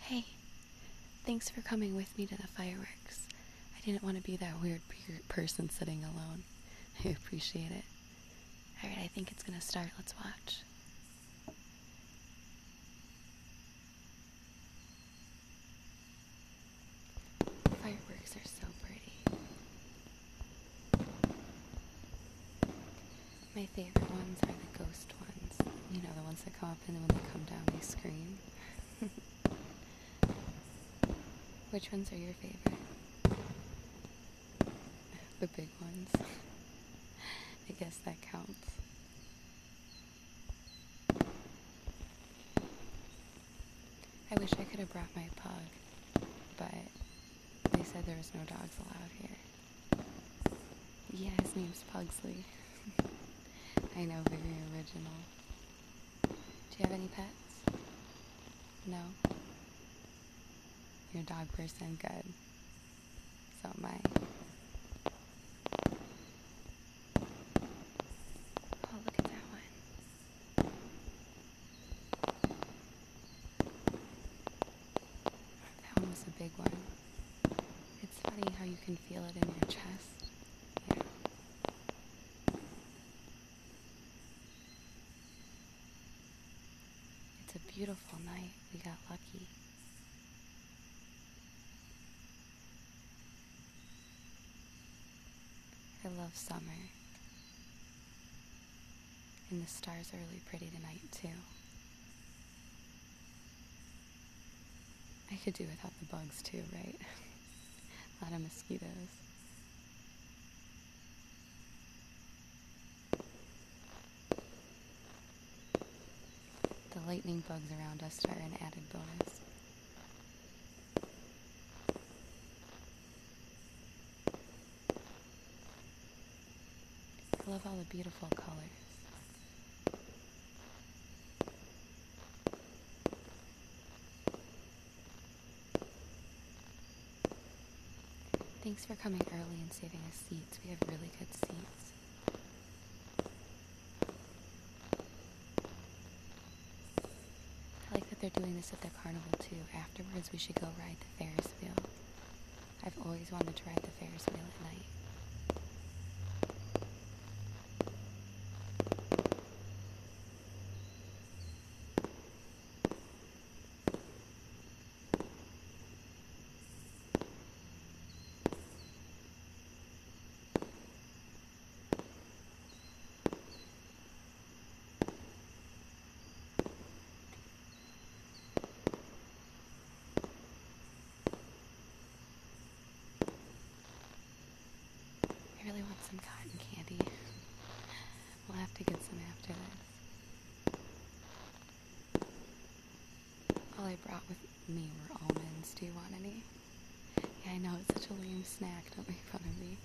Hey, thanks for coming with me to the fireworks. I didn't want to be that weird person sitting alone. I appreciate it. Alright, I think it's gonna start. Let's watch. Fireworks are so pretty. My favorite ones are the ghost ones. You know, the ones that come up and then when they come down they scream. Which ones are your favorite? The big ones. I guess that counts. I wish I could have brought my pug, but they said there was no dogs allowed here. Yeah, his name's Pugsley. I know, very original. Do you have any pets? No? Your dog person, good. So am I. Oh, look at that one. That was a big one. It's funny how you can feel it in your chest. Yeah. It's a beautiful night. We got lucky. I love summer. And the stars are really pretty tonight, too. I could do without the bugs, too, right? A lot of mosquitoes. The lightning bugs around us are an added bonus. I love all the beautiful colors. Thanks for coming early and saving us seats. We have really good seats. I like that they're doing this at their carnival too. Afterwards, we should go ride the Ferris wheel. I've always wanted to ride the Ferris wheel at night. I really want some cotton candy. We'll have to get some after this. All I brought with me were almonds. Do you want any? Yeah, I know, it's such a lame snack. Don't make fun of me.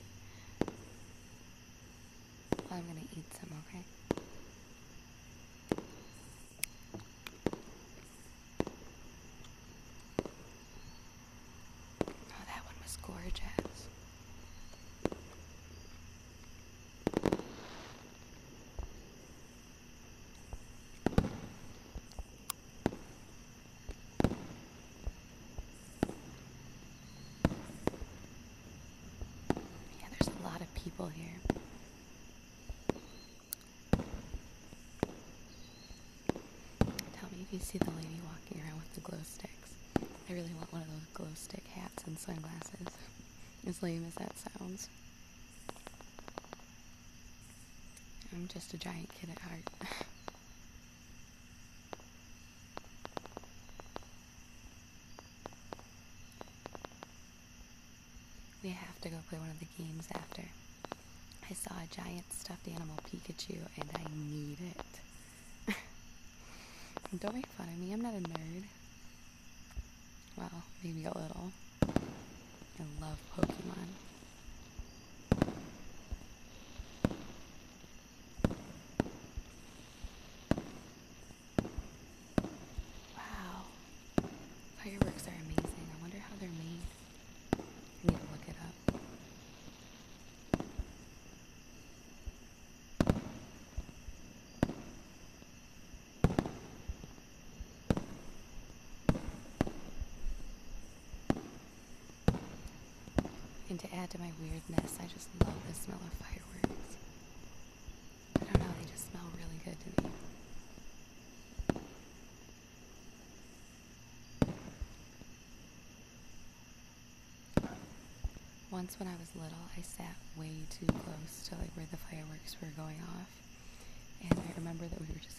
I'm gonna eat some, okay? Oh, that one was gorgeous. Yeah, there's a lot of people here. Tell me if you see the lady walking around with the glow sticks. I really want one of those glow stick hats and sunglasses. as lame as that sounds. I'm just a giant kid at heart. We have to go play one of the games after. I saw a giant stuffed animal Pikachu and I need it. Don't make fun of me, I'm not a nerd. Well, maybe a little. I love Pokemon. Wow. Fireworks are amazing. I wonder how they're made. I need to look it up. And to add to my weirdness, I just love the smell of fireworks. I don't know, they just smell really good to me. Once when I was little, I sat way too close to like where the fireworks were going off. And I remember that we were just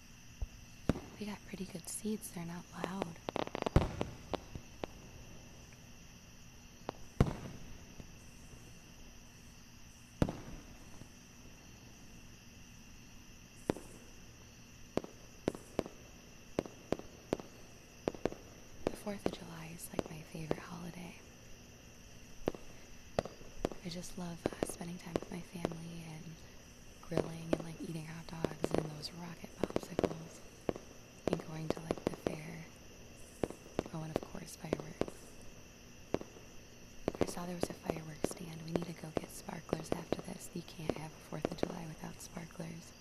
We got pretty good seeds, they're not loud. The 4th of July is like my favorite holiday. I just love uh, spending time with my family and grilling and like eating hot dogs and those rocket popsicles and going to like the fair. Oh, and of course, fireworks. I saw there was a fireworks stand. We need to go get sparklers after this. You can't have a 4th of July without sparklers.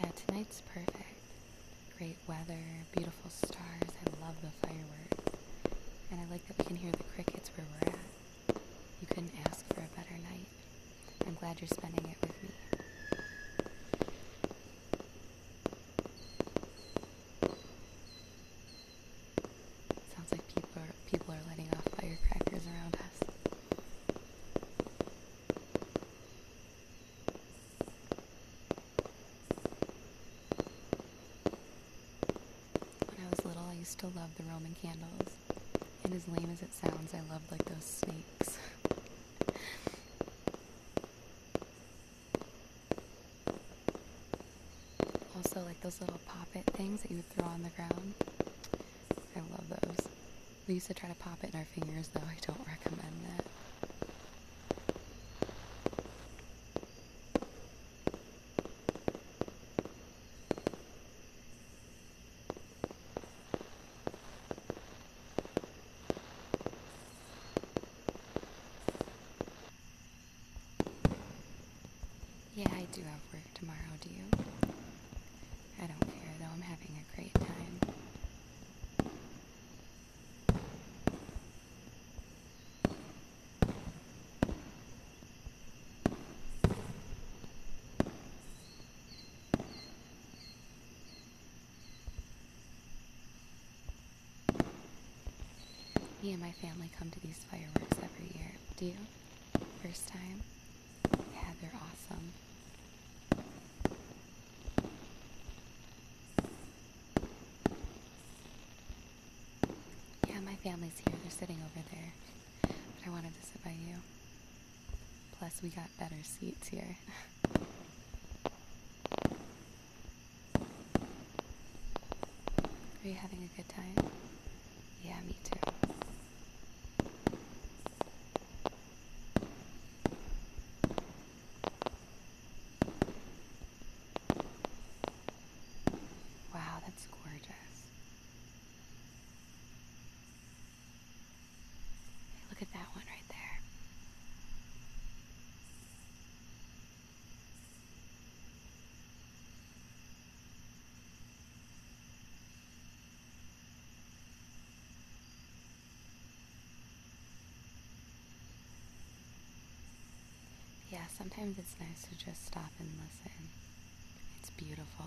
Yeah, tonight's perfect. Great weather, beautiful stars. I love the fireworks. And I like that we can hear the crickets where we're at. You couldn't ask for a better night. I'm glad you're spending it with me. Sounds like people are, people are letting off firecrackers around us. When I was little, I used to love the Roman candles. And as lame as it sounds, I loved like those snakes. Also, like those little pop-it things that you would throw on the ground. I love those. We used to try to pop it in our fingers, though. I don't recommend that. Yeah, I do have work tomorrow, do you? I don't care, though. I'm having a great time. Me and my family come to these fireworks every year. Do you? First time? Yeah, they're awesome. Yeah, my family's here. They're sitting over there. But I wanted to sit by you. Plus, we got better seats here. Are you having a good time? Yeah, me too. Wow, that's gorgeous. Look at that one right there. Yeah, sometimes it's nice to just stop and listen. It's beautiful.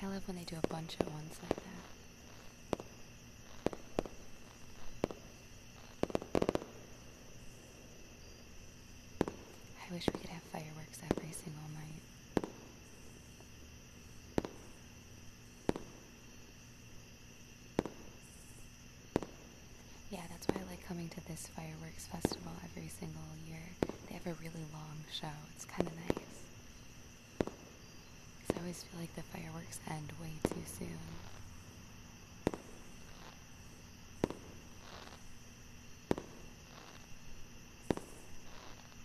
I love when they do a bunch at once like that. I wish we could have fireworks every single night. Yeah, that's why I like coming to this fireworks festival every single year. They have a really long show. It's kind of nice. Because I always feel like the fireworks end way too soon.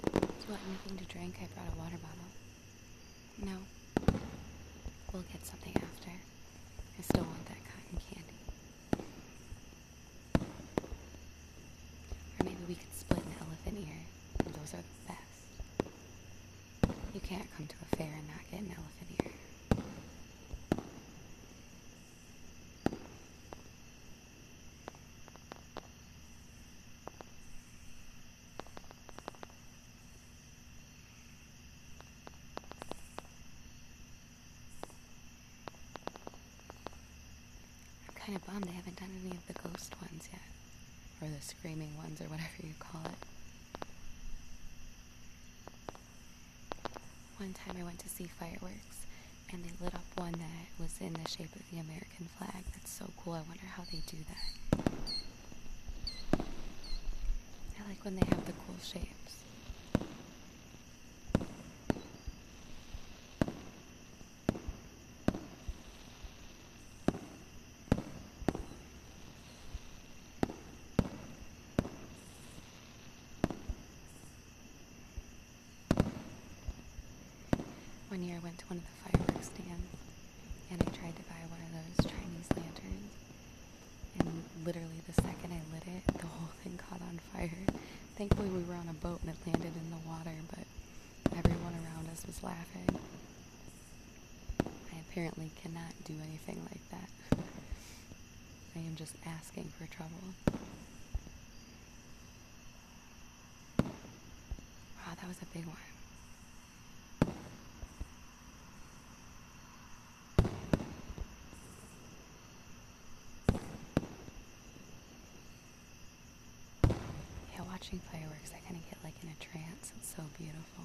Do you want anything to drink? I brought a water bottle. No. We'll get something after. I still want that cotton candy. Or maybe we could split an elephant ear. Those are the best. You can't come to a fair and not get an elephant ear. I'm kind of bummed they haven't done any of the ghost ones yet, or the screaming ones, or whatever you call it. One time I went to see fireworks and they lit up one that was in the shape of the American flag. That's so cool. I wonder how they do that. I like when they have the cool shapes. One year I went to one of the fireworks stands and I tried to buy one of those Chinese lanterns. And literally the second I lit it, the whole thing caught on fire. Thankfully we were on a boat and it landed in the water, but everyone around us was laughing. I apparently cannot do anything like that. I am just asking for trouble. Wow, ah, that was a big one. Yeah, watching fireworks, I kind of get like in a trance. It's so beautiful.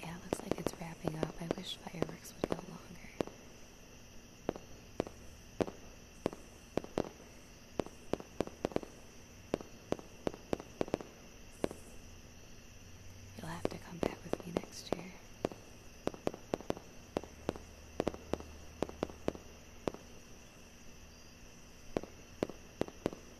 Yeah, looks like it's wrapping up. I wish fireworks would go longer. You'll have to come back with me next year.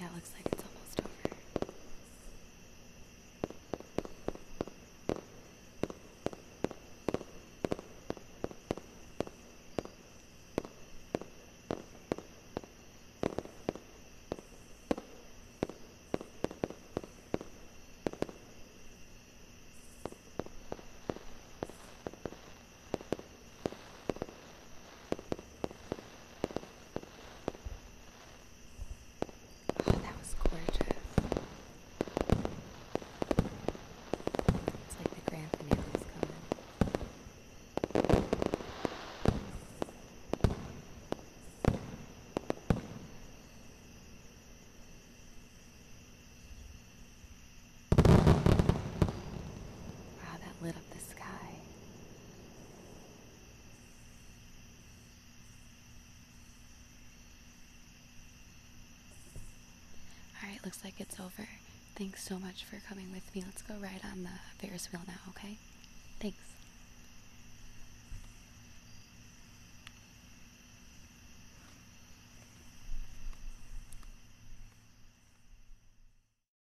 Yeah, it looks like it's almost over. Oh, that was gorgeous. It's like the grand finale is coming. Wow, that lit up the sky. Alright, looks like it's over. Thanks so much for coming with me. Let's go ride on the Ferris wheel now, okay? Thanks.